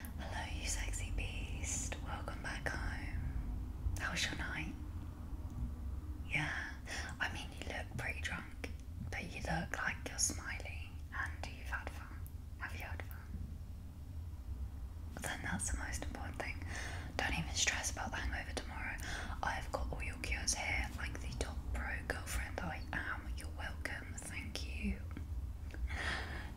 Hello, you sexy beast. Welcome back home. How was your night? Yeah, I mean, you look pretty drunk, but you look like you're smiling and you've had fun. Have you had fun? Then that's the most important thing. Don't even stress about the hangover tomorrow. I've got all your cures here, like the top pro girlfriend I am. You're welcome. Oh, thank you.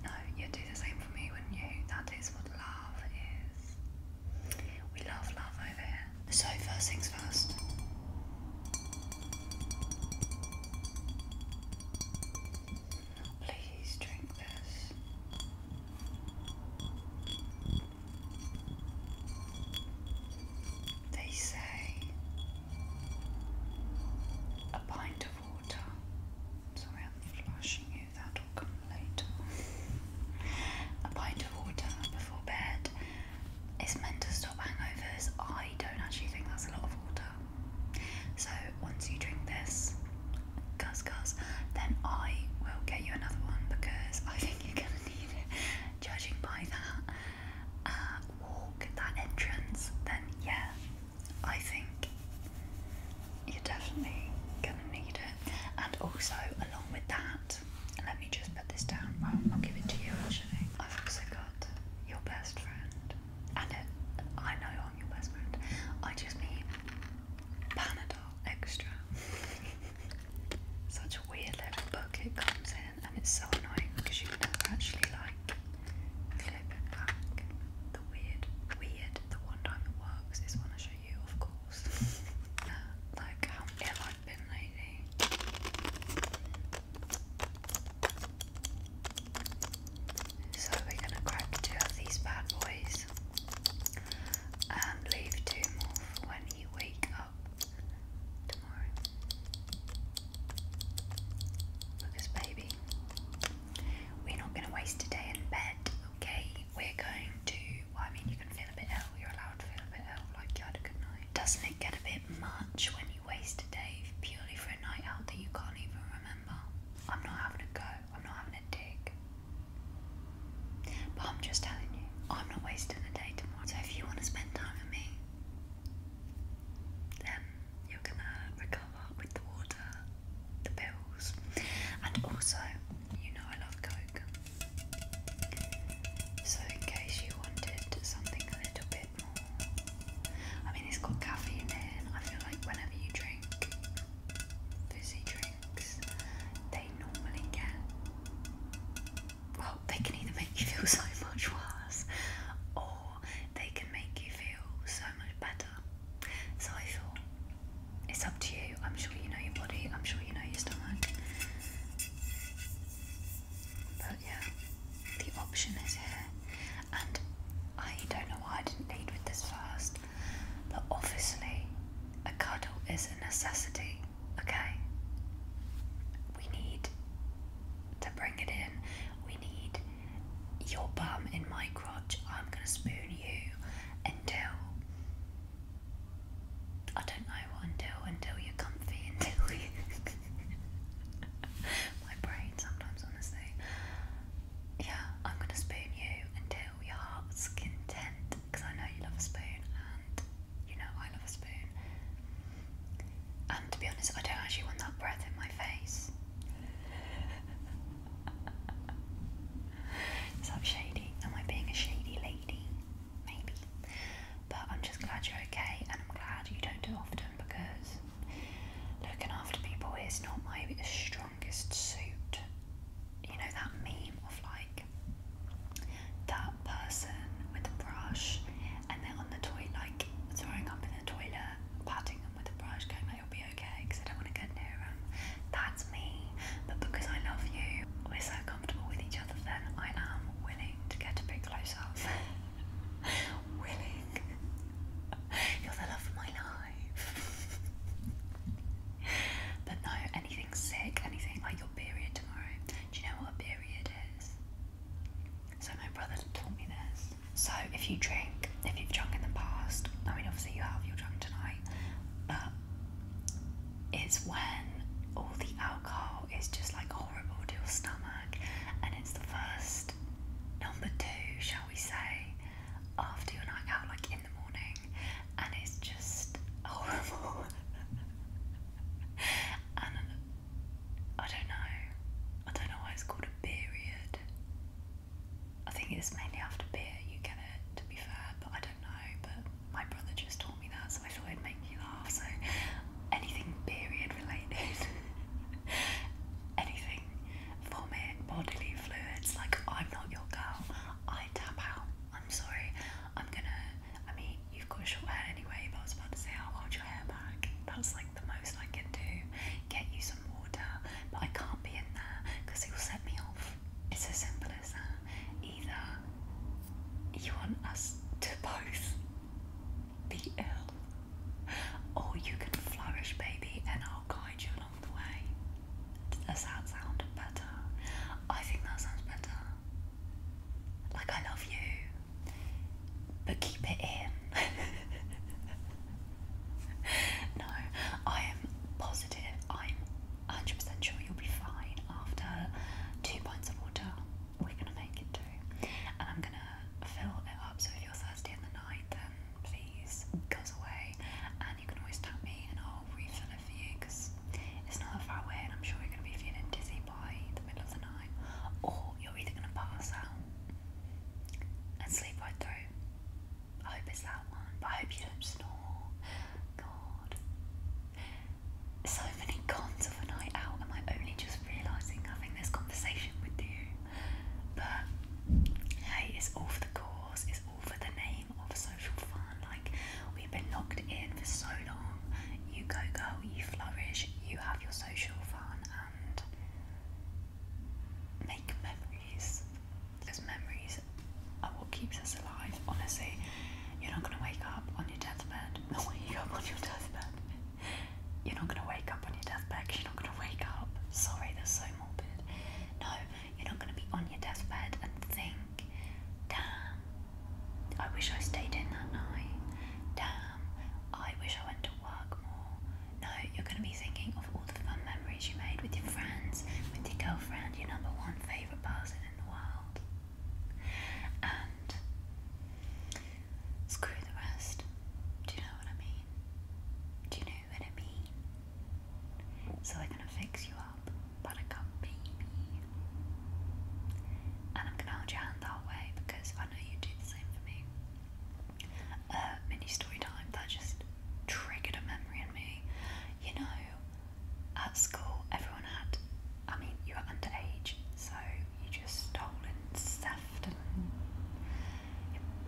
No, you'd do the same for me, wouldn't you? That is what love is. We love love over here. So, first things first. Please drink this. They say a pint of water. Sorry, I'm flushing you, that'll come later. A pint of water before bed is meant to stop hangovers. I don't actually think that's a lot of water. So once you drink this, cuz cuz, then I will get you another one because I think you're gonna need it. Judging by that uh, walk, that entrance, then yeah, I think you're definitely gonna need it. And also, along with that, let me just put this down. I'll give it to you actually. I've also got your best friend, and I know I'm your best friend. I just mean Panadol Extra. Such a weird little book it comes in and it's so annoying because you can never actually like clip it back. The weird, weird, the one time it works is when I show you, of course. Uh, like how ill I've been lately. So we're gonna crack two of these bad boys and leave two more for when you wake up tomorrow. Lucas, baby, we're not going to waste a day in bed, okay? We're going to. I mean, you can feel a bit ill. You're allowed to feel a bit ill, like you had a good night. Doesn't it get a bit much when you waste a day purely for a night out that you can't even remember? I'm not having a go. I'm not having a dig. But I'm just telling you, I'm not wasting a day tomorrow. So if you want to spend time with me, then you're gonna recover with the water, the pills, and also, you know, I love Coke. So, in case you wanted something a little bit more, I mean, it's got caffeine in. I feel like whenever you drink fizzy drinks, they normally get well, they can either make you feel so much worse or they can make you feel so much better. So I thought, it's up to you. I'm sure you know your body, I'm sure you know your stomach. But yeah, the option is here. And I don't know why I didn't lead with this first, but obviously, a cuddle is a necessity, okay? We need to bring it in, we need your bum in my crotch. I'm going to spoon you until. I don't know until, until you're comfy, until my brain sometimes, honestly. Yeah, I'm going to spoon you until your heart's content because I know you love spoon and you know, I love a spoon. And to be honest, I don't actually want that breath in my face. Is that shady? Am I being a shady lady? Maybe. But I'm just glad you're okay and I'm glad you don't do often because looking after people is not my strongest suit. You know, that meme of like that person with the brush and they on the toilet, like throwing up in the toilet, patting them with a brush, going like, "You'll be okay," because I don't want to get near them. That's me. But because I love you, we're so comfortable with each other. Then I am willing to get a bit closer. willing. You're the love of my life. but no, anything sick, anything like your period tomorrow. Do you know what a period is? So my brother taught me this. So if you drink, if you've drunk in the past, I mean obviously you have, you're drunk tonight, but it's when all the alcohol is just like horrible to your stomach and it's the first number two, shall we say, after your night out, like in the morning, and it's just horrible. I don't know. I don't know why it's called a period. I think it's mainly after beer you get it, to be fair, but I don't know. But my brother just taught me that, so I thought it'd make me laugh. So anything period related, anything vomit, bodily fluids, like I'm not your girl, I tap out. I'm sorry, I'm gonna, I mean, you've got short hair anyway, but I was about to say I'll hold your hair back. That's like the most I can do. Get you some water, but I can't be in there because it will set me off. It's as simple as that. Either you want us to both be ill, or you can flourish, baby, and I'll guide you along the way. Does that sound better? I think that sounds better. Like, I love you, but keep it in. no, I am positive. I'm 100% sure you'll be fine after two pints of water. We're gonna make it do, and I'm gonna fill it up. So if you're thirsty in the night, then please goes away, and you can always tap me, and I'll refill for you because it's not that far away, and I'm sure you're going to be feeling dizzy by the middle of the night, or you're either going to pass out and sleep right through. I hope it's that one, but I hope you don't snore. God. So many cons of a night out, am I only just realising having this conversation with you? But hey, it's all for the cause, it's all for the name of social fun. Like, we've been locked in for so long. You go, go, you flourish, you have your social fun, and make memories. Because memories are what keeps us alive, honestly. You're not going to wake up on your deathbed. No, you wake up on your deathbed. You're not going to wake up on your deathbed you're not going to wake up. Sorry, that's so morbid. No, you're not going to be on your deathbed and think, damn, I wish I stayed in that night. Damn, I wish I went to work more. No, you're going to be thinking of all the fun memories you made with your friends, with your girlfriend, your number one favourite person in the world. And screw the rest. Do you know what I mean? Do you know what I mean? So we're going to fix you up up, buttercup baby. And I'm gonna hold your hand that way because I know you do the same for me. mini story time, that just triggered a memory in me. You know, at school, everyone had, I mean, you were underage, so you just stole and theft and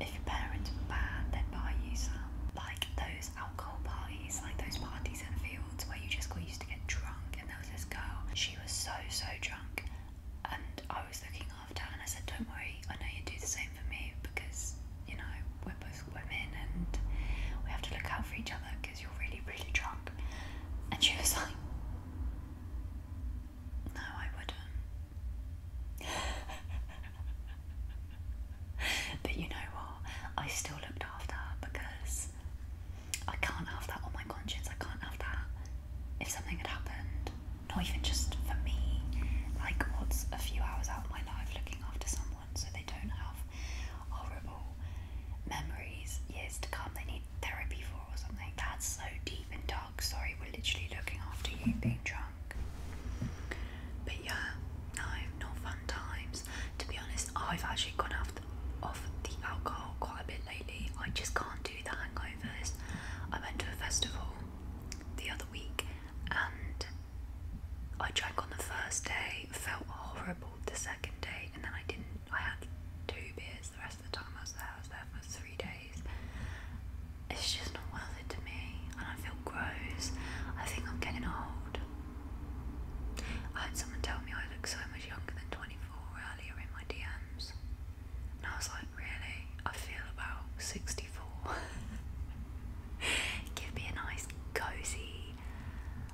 if your parents were bad, they'd buy you some. Like those those alcohol parties, like those parties in the fields where you just used to get drunk. And there was this girl, she was so, so drunk. And I was looking after her, and I said, Don't worry, I know you do the same for me because, you know, we're both women and we have to look out for each other because you're really, really drunk. And she was like, No, I wouldn't. but you know what? I still looked after her because I can't have that on my conscience. I can't have that. If something had happened, not even just for me, like what's a few hours out of my life looking after someone so they don't have horrible memories years to come they need therapy for or something. That's so deep and dark. Sorry, we're literally looking after you being drunk. But yeah, no, no fun times. To be honest, I've actually gone off the, off the alcohol quite a bit lately. I just can't do the hangovers. I went to a festival the other week and I drank on the first day, felt horrible the second day, and then I didn't. I had two beers the rest of the time I was there for three days it's just not worth it to me, and I feel gross. I think I'm getting old. I had someone tell me I look so much younger than 24 earlier in my DMs, and I was like, really? I feel about 64. Give me a nice cozy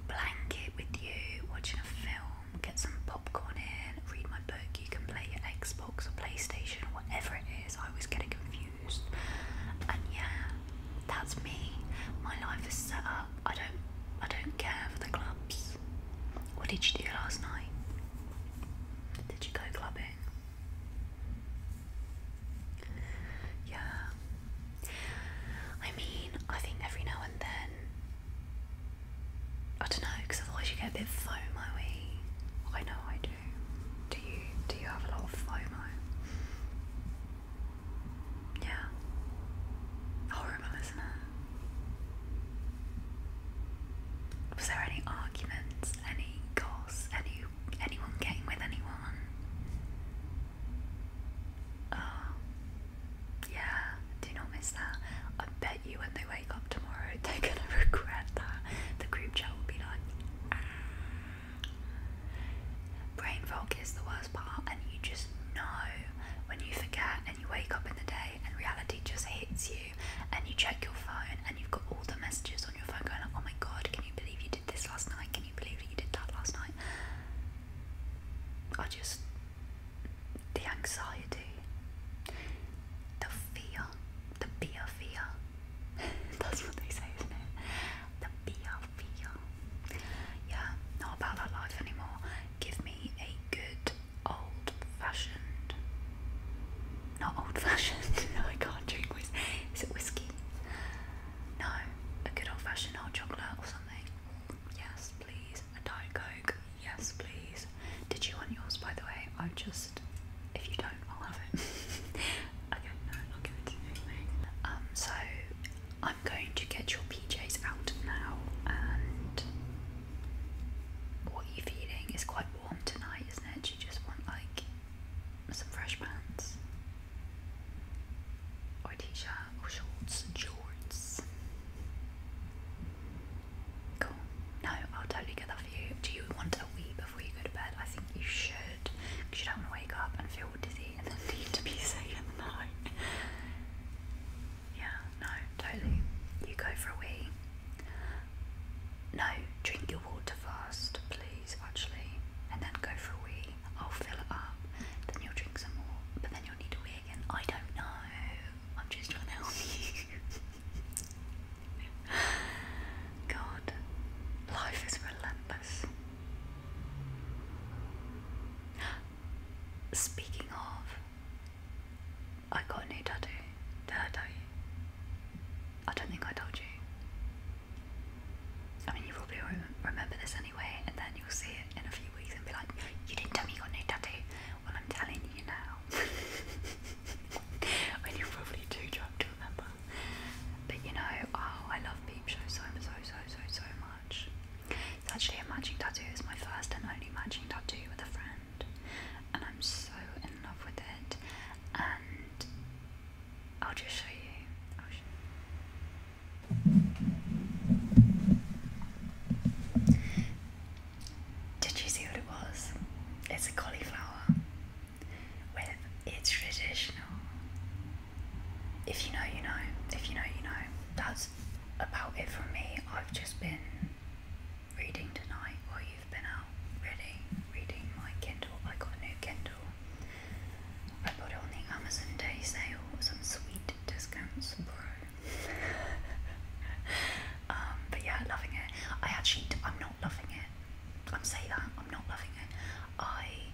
blanket with you, watching a film, get some popcorn in, read my book. You can play your Xbox or PlayStation or whatever it is. I was getting confused. And yeah, that's me. My life is set up. I don't I don't care for the clubs. What did you do last night? Did you go clubbing? Yeah. I mean, I think every now and then. I don't know, because otherwise you get a bit FOMO-y. I know I do do? you do you have a lot of FOMO? Yeah. Horrible, isn't it? Was there any arguments, any goss, any anyone getting with anyone? Oh yeah, do not miss that. I bet you when they wake up tomorrow they're gonna regret that. The group chat will be like Brain fog is the worst part, and you just know when you forget and you wake up in the day and reality just hits you, and you check your phone and you've got all the messages on your phone going, Oh my god, can you believe you did this last night? Can you believe that you did that last night? I just. the anxiety, the fear, the beer fear. That's what they say, isn't it? The beer, beer. Yeah, not about that life anymore. Give me a good old fashioned. Not old fashioned. no, I can't drink whiskey. Is it whiskey? No, a good old fashioned hot chocolate or something. Yes, please. A Diet Coke. Yes, please. Did you want yours, by the way? I just, if you don't, I'll have it. okay, no, I'll give it to you anyway. so I'm going to get your PJs out now, and what are you feeling? It's quite warm tonight, isn't it? You just want like some fresh pants, or a t-shirt, or shorts, shorts. Cool. No, I'll totally get that for you. Do you want a wee before you go to bed? I think you should. Because you don't want to wake up and feel dizzy and then need to in the night. yeah, no, totally. You go for a wee. No, drink your water first, please, actually. And then go for a wee. I'll fill it up. Then you'll drink some more. But then you'll need a wee again. I don't know. I'm just trying to help you. God, life is relentless. Speaking of, I got a new tattoo. Did I tell you? I don't think I told you. I mean, you probably remember this anyway, and then you'll see it in a few weeks and be like, You didn't tell me you got a new tattoo. Well, I'm telling you now. when you're probably too drunk to remember. But you know, oh, I love Peep Show so, so, so, so, so much. It's actually a matching tattoo. It's my first and only matching tattoo with a friend. And I'm so in love with it. And I'll just show you. Did you see what it was? It's a cauliflower with it's traditional. If you know, you know. If you know, you know. That's about it from me. I've just been reading tonight while you've been out really reading my Kindle. I got a new Kindle. I bought it on the Amazon Day sale. Some sweet discounts, bro. Um, but yeah, loving it. I actually, I'm not loving it. I'm saying that I'm not loving it. I,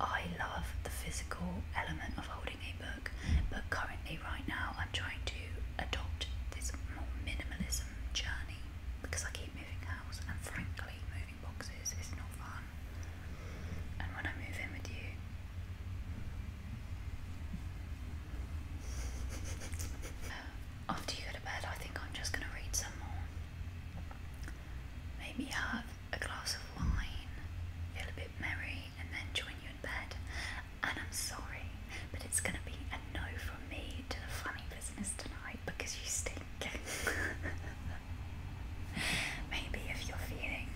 I love the physical element of holding a book, but currently, right now, I'm trying to adopt this more minimalism journey because I keep moving house, and frankly, moving boxes is not fun. And when I move in with you, after you go to bed, I think I'm just going to read some more. Maybe have a glass of wine, feel a bit merry, and then join you in bed. And I'm sorry, but it's going to be a no from me to the funny business tonight because you stink. Maybe if you're feeling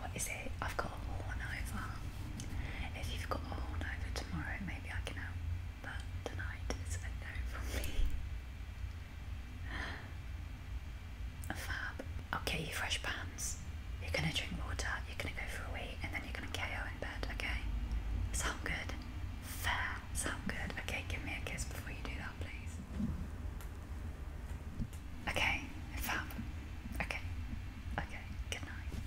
what is it? I've got a horn over. If you've got a horn over tomorrow, maybe I can help. But tonight is a no for me. Fab. Okay, you fresh pants. You're gonna drink water, you're gonna go for a wee, and then you're gonna KO in bed, okay? Sound good? Fair. Sound good? Okay, give me a kiss before you do that, please. Okay, fab. Okay, okay, good night.